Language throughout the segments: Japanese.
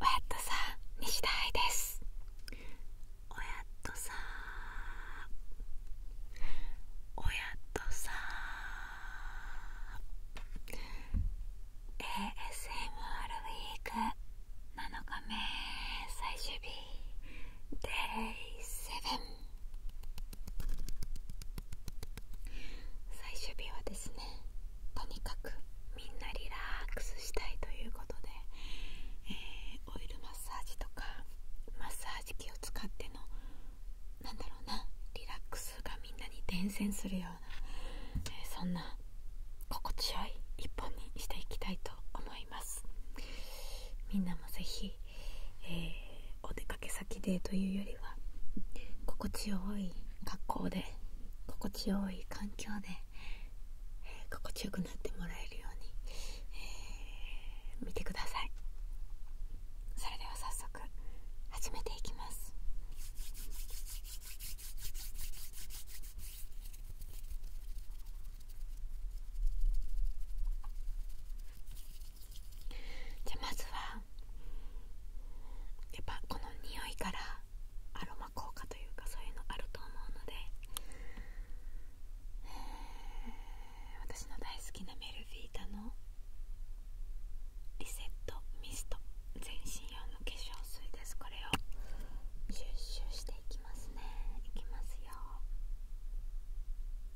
おやっとさん西田ですおやっとさおやっとさ ASMR ウィーク7日目最終日 Day7 最終日はですねとにかくみんなリラックスしたいということで、えオイルマッサージとかマッサージ機を使ってのなんだろうなリラックスがみんなに伝染するような、えそんな心地よい一本にしていきたいと思いますみんなもぜひえお出かけ先でというよりは心地よい格好で心地よい環境で、心地よくなってもらえるように、え見てくださいそれでは早速始めていきますじゃまずはやっぱこの匂いからアロマ効果というかそういうのあると思うので、え私の大好きなメルフィータのリセットミスト全身用の化粧水ですこれをシュしていきますねいきますよ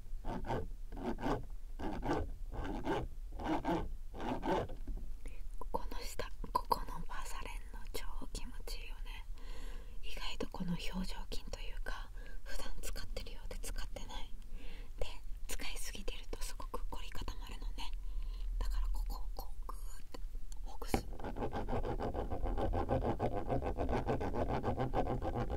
この下ここのバーサレンの超気持ちいいよね意外とこの表情筋というか普段使ってるようで使ってないで使いすぎてるとすごく凝り固まるのねだからここをこうグーってほぐす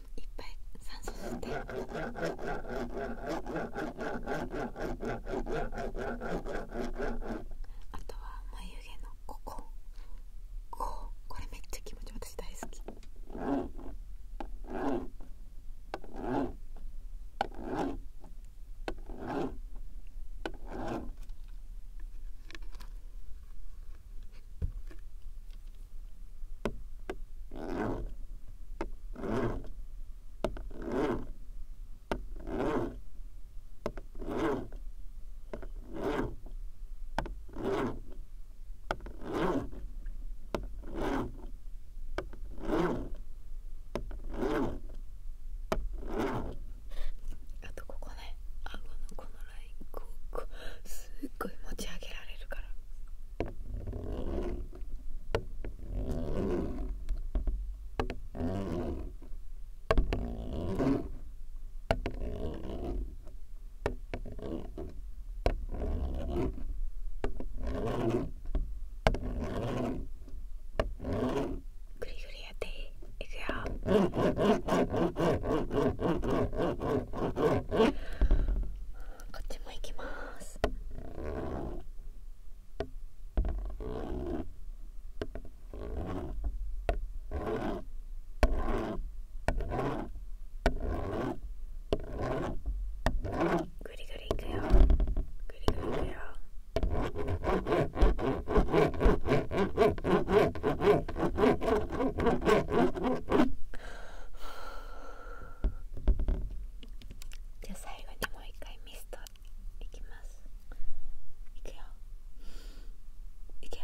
いっぱい酸素吸ってあとは眉毛のこここうこれめっちゃ気持ち私大好きあとここね顎のこラインこうこうすごい持ち上げられるから。グリグリやっていくよこっちも行きますぐりぐりいくよぐりぐりいくよじゃあ最後にもう一回ミストいきますいくよいくよ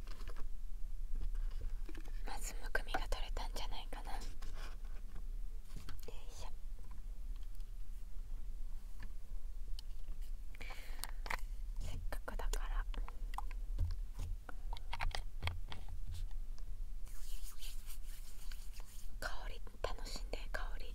まずむくみが取れたんじゃないかなよいしょせっかくだから香り楽しんで香り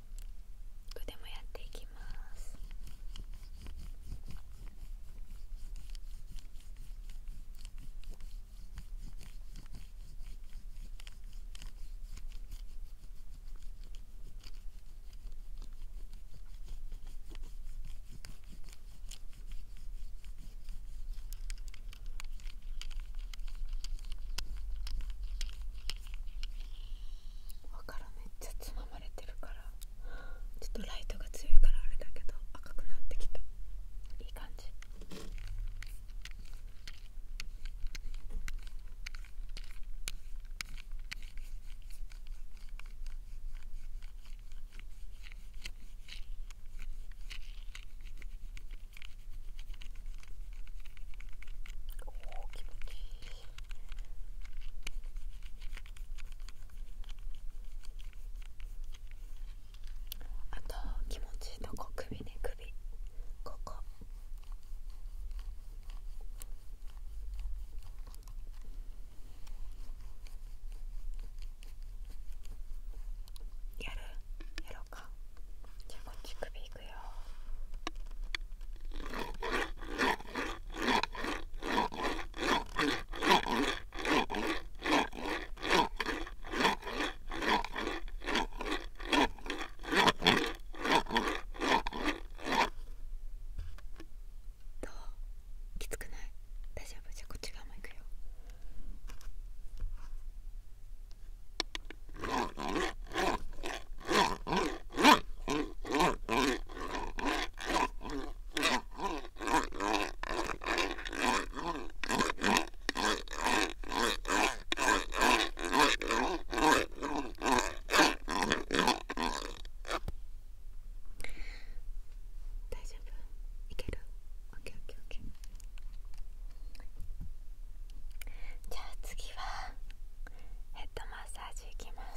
こ腕もやっていきますわからめっつままちょっとライトが強いからあれだけど赤くなってきたいい感じおお気持ちあと気持ちいいとこ首ね首ここやるやろうか気持ち首いくよどうきつくない大丈夫じゃあこっち側もいくよ。大丈夫いける o k じゃあ次はヘッドマッサージいきまあっ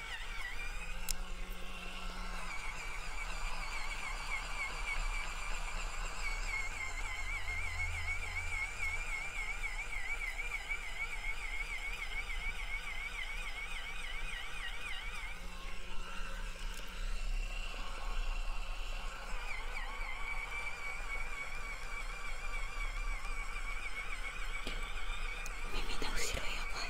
耳の後ろやばい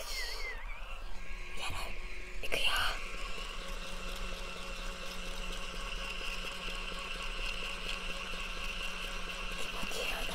しやるいくよ気持ちいいよねよし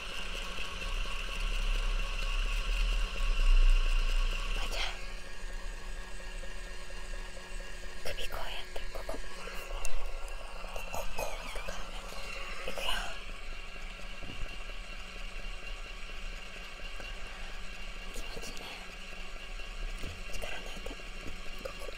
ちゃん首こうやってこここここうとかいくよ気持ちいいね力抜いてこここ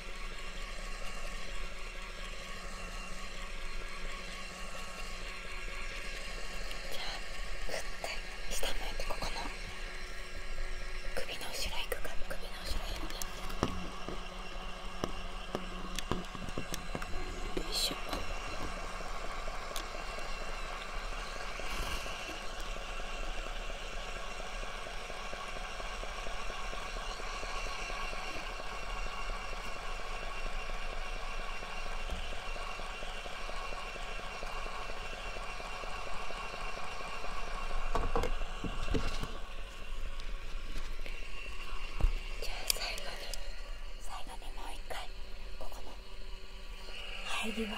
じゃあ振って下向いてここの首の後ろいくか首の後ろいって。よいしょよじゃあ最後に最後にもう一回ここの入りは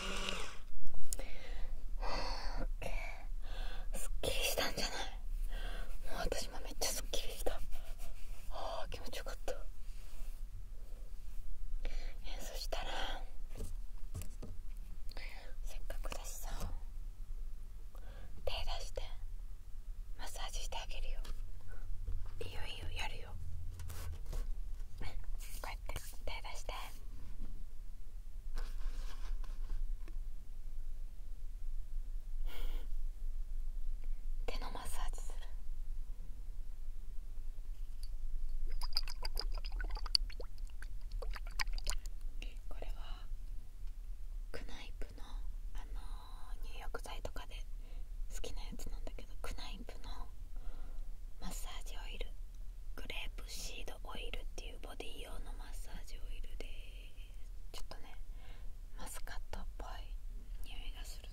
すっきりしたんじゃないもう私もめっちゃすっきりしたああ気持ちよかったえそしたらせっかくだしさ手出してマッサージしてあげるよいよいいよやるよこうやって手出して手のマッサージするこれはクナイプの、あの入浴剤とかで好きなやつなんだけどクナイプのマッサージオイルグレープシード。オイルっていうボディ用のマッサージオイルですちょっとねマスカットっぽい匂いがする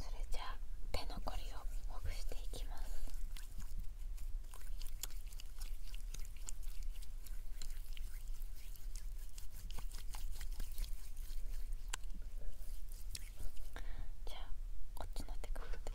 それじゃあ手残りをほぐしていきます。じゃあこっちの手首で。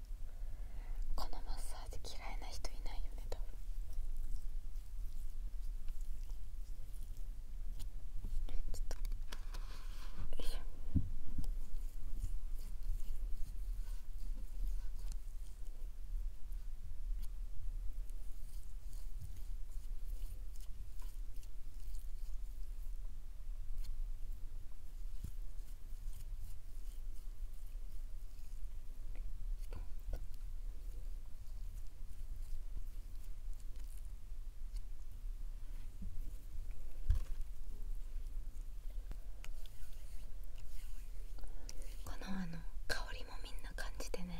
このマッサージ嫌いな人いないよね多分ちょっとよいしょよこのあの香りもみんな感じてね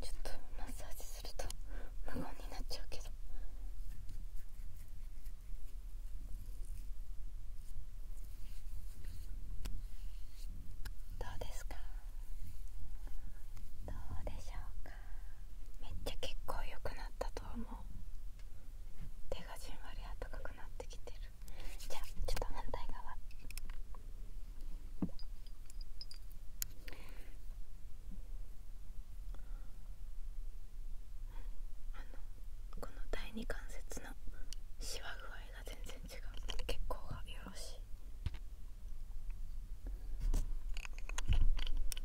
ちょっとマッサージすると無言になっちゃうけどどうですかどうでしょうかめっちゃ結構良くなったと思う手がじんわり暖かくなってきてるじゃあちょっと反対側あのこの第二関節のしわ具合が全然違う血行がよろしい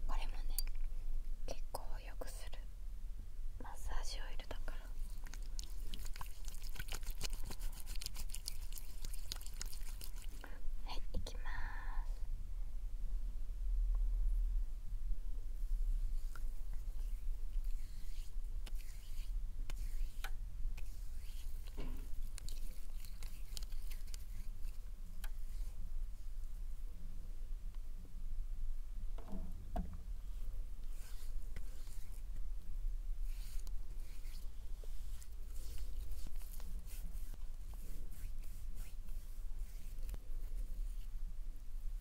これもね血行を良くするマッサージオイルだからはい、いきます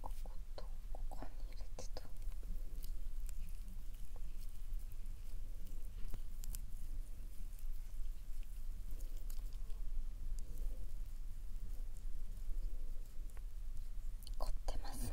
こことここに入れてた。凝ってますね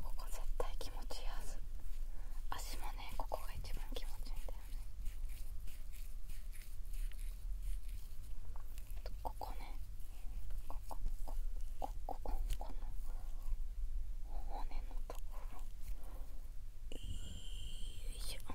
ここ絶対気持ちいいはず足もねここが一番気持ちいいんだよねここねこここここここの頬骨のところよいしょ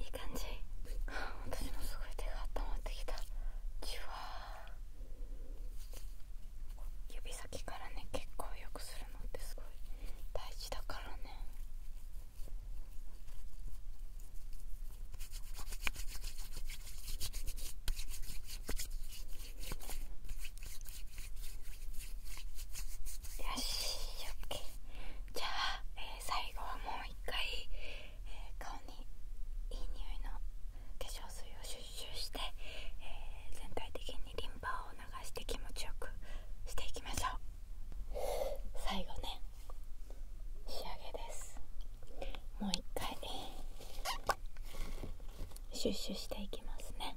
いい感じ私のすごい手が温まってきた指先からね結構よくするのってすごい大事だからねよし OK じゃあ、最後はもう一回、顔にいい匂いの化粧水をうシュッシュして、えー、全体的にリンパを流して気持ちよくしていきましょう最後ね仕上げですもう一回シュッシュしていきますね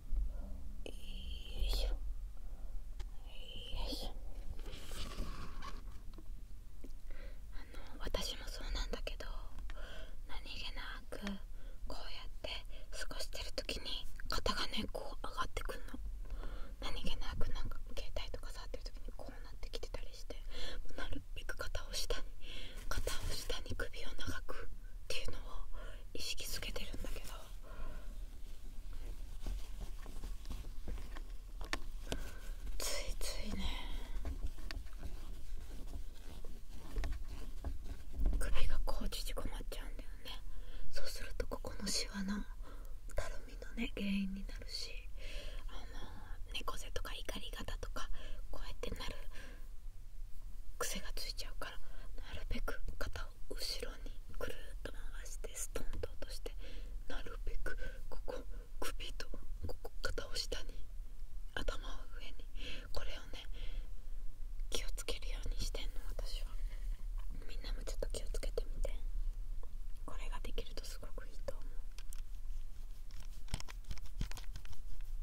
しょよいしょあの私もそうなんだけど何気なくこうやって過ごしてる時に肩がねこう上がってくんの何気なくなんか携帯とか触ってる時にこうなってきてたりしてなるべく肩を下に肩を下に首を長くっていうのを意識づけてるんだけどついついね首がこう縮こまっちゃうんだよねそうするとここのしわのたるみのね原因になるしあの猫背とか怒り方とかこうやってなる癖がついちゃうからなるべく肩を後ろにくるっと回してストンと落としてなるべくここ首とここ肩を下に頭を上にこれをね気をつけるようにしてんの私はみんなもちょっと気をつけてみてこれができるとすごくいいと思う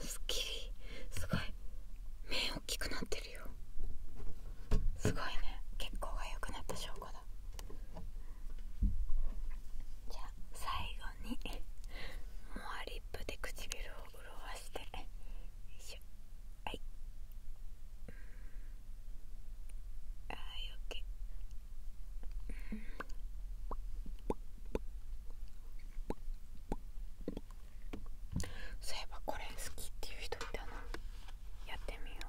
すっきりすごい目大きくなってるよすごいね血行が良くなった証拠だじゃあ最後に終わりッ唇を潤していしょはいあーよけ、うそういえばこれ好きっていう人いたなやってみよう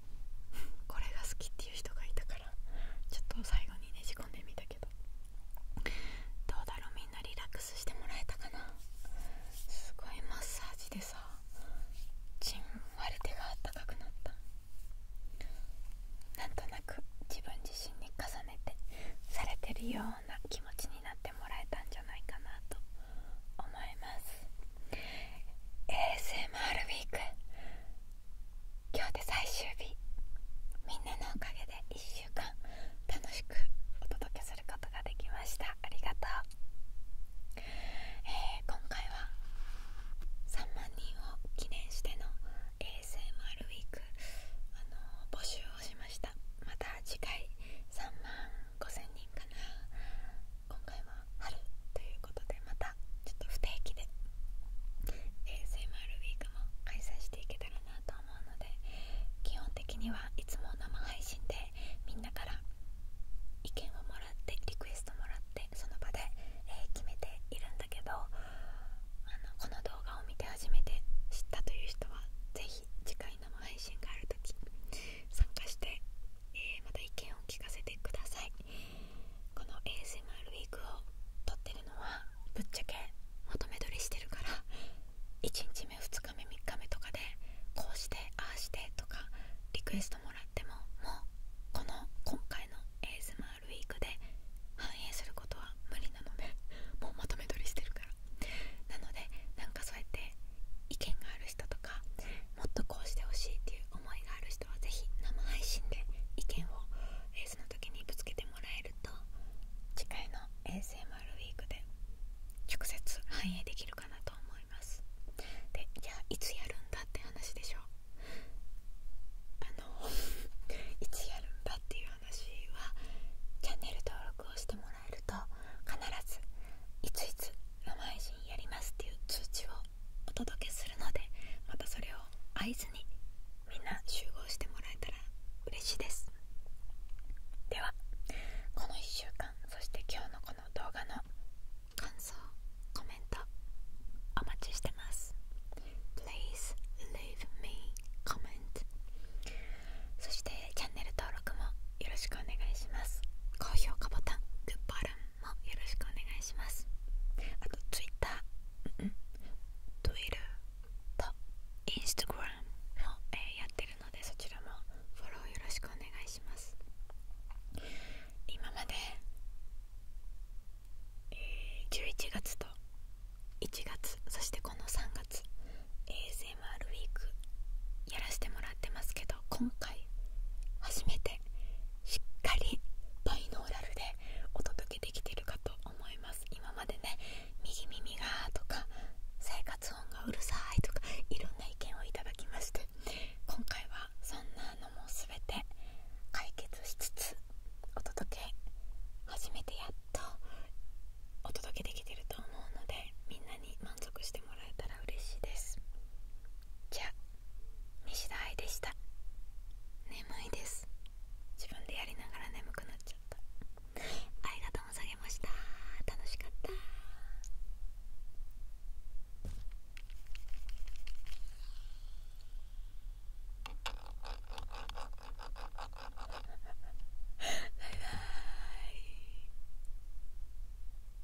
これが好きっていう人がいたからちょっと最後にねじ込んでみたけどどうだろうみんなリラックスしてもらえたかなすごいマッサージでさちんわり手があったかくなったなんとなく自分自身に重ねてされてるような気持ちになってもらえたんじゃないかなと思いいます ASMR ウィーク今日で最終日みんなのおかげで1週間楽しくお届けすることができましたありがとう、えー、今回は3万人を記念しての ASMR ウィークあのー、募集をしましたまた次回3万5000人かな今回は春ということでまたちょっと不定期で ASMR ウィークも開催していけたらなと思うので基本的にはいつも生配信でみんなから意見をもらってリクエストもらってその場で、え決めているんだけどあのこの動画を見て初めて知ったという人は是非。次回生配信がある時参加してえまた意見を聞かせてくださいこの ASMR ウィークを撮ってるのはぶっちゃけまとめ撮りしてるから1日目2日目3日目とかでこうしてああしてとかリクエストもらってももうこの今回の ASMR ウィークで反映することは無理なのでもうまとめ撮りしてるからなのでなんかそうやって意見がある人とかもっとこうしてほしいっていう思いがある人はぜひ生配信で意見を、えー、その時にぶつけてもらえると次回の ASMR ウィークで直接反映できるかなと思いますでじゃあいつやるんだって話でしょあの いつやるんだっていう話はチャンネル登録をしてもらえると必ずいついつ生配信やりますっていう通知をお届けするのでまたそれを合図にみんな集合してもらえたら嬉しいですではこの1週間そして今日のこの動画の感想コメントお待ちしてます Please leave me comment そしてチャンネル登録もよろしくお願いします高評価ボタングッバルンよろしくお願いしますあと Twitter、うん Twitter と Instagram も、やってるのでそちらもフォローよろしくお願いします今まで、11月と1月そしてこの3月 ASMR ウィークやらせてもらって。もってますけど今回初めてしっかりバイノーラルでお届けできてるかと思います今までね右耳がとか生活音がうるさいとかいろんな意見をいただきまして今回はそんなのも全て解決しつつお届け初めてやっとお届けできてると思うのでみんなに満足してもらえたら嬉しいですじゃ西田愛でした眠いです自分でやりながら眠くなっちゃったありがとうございました楽しかったババイイ。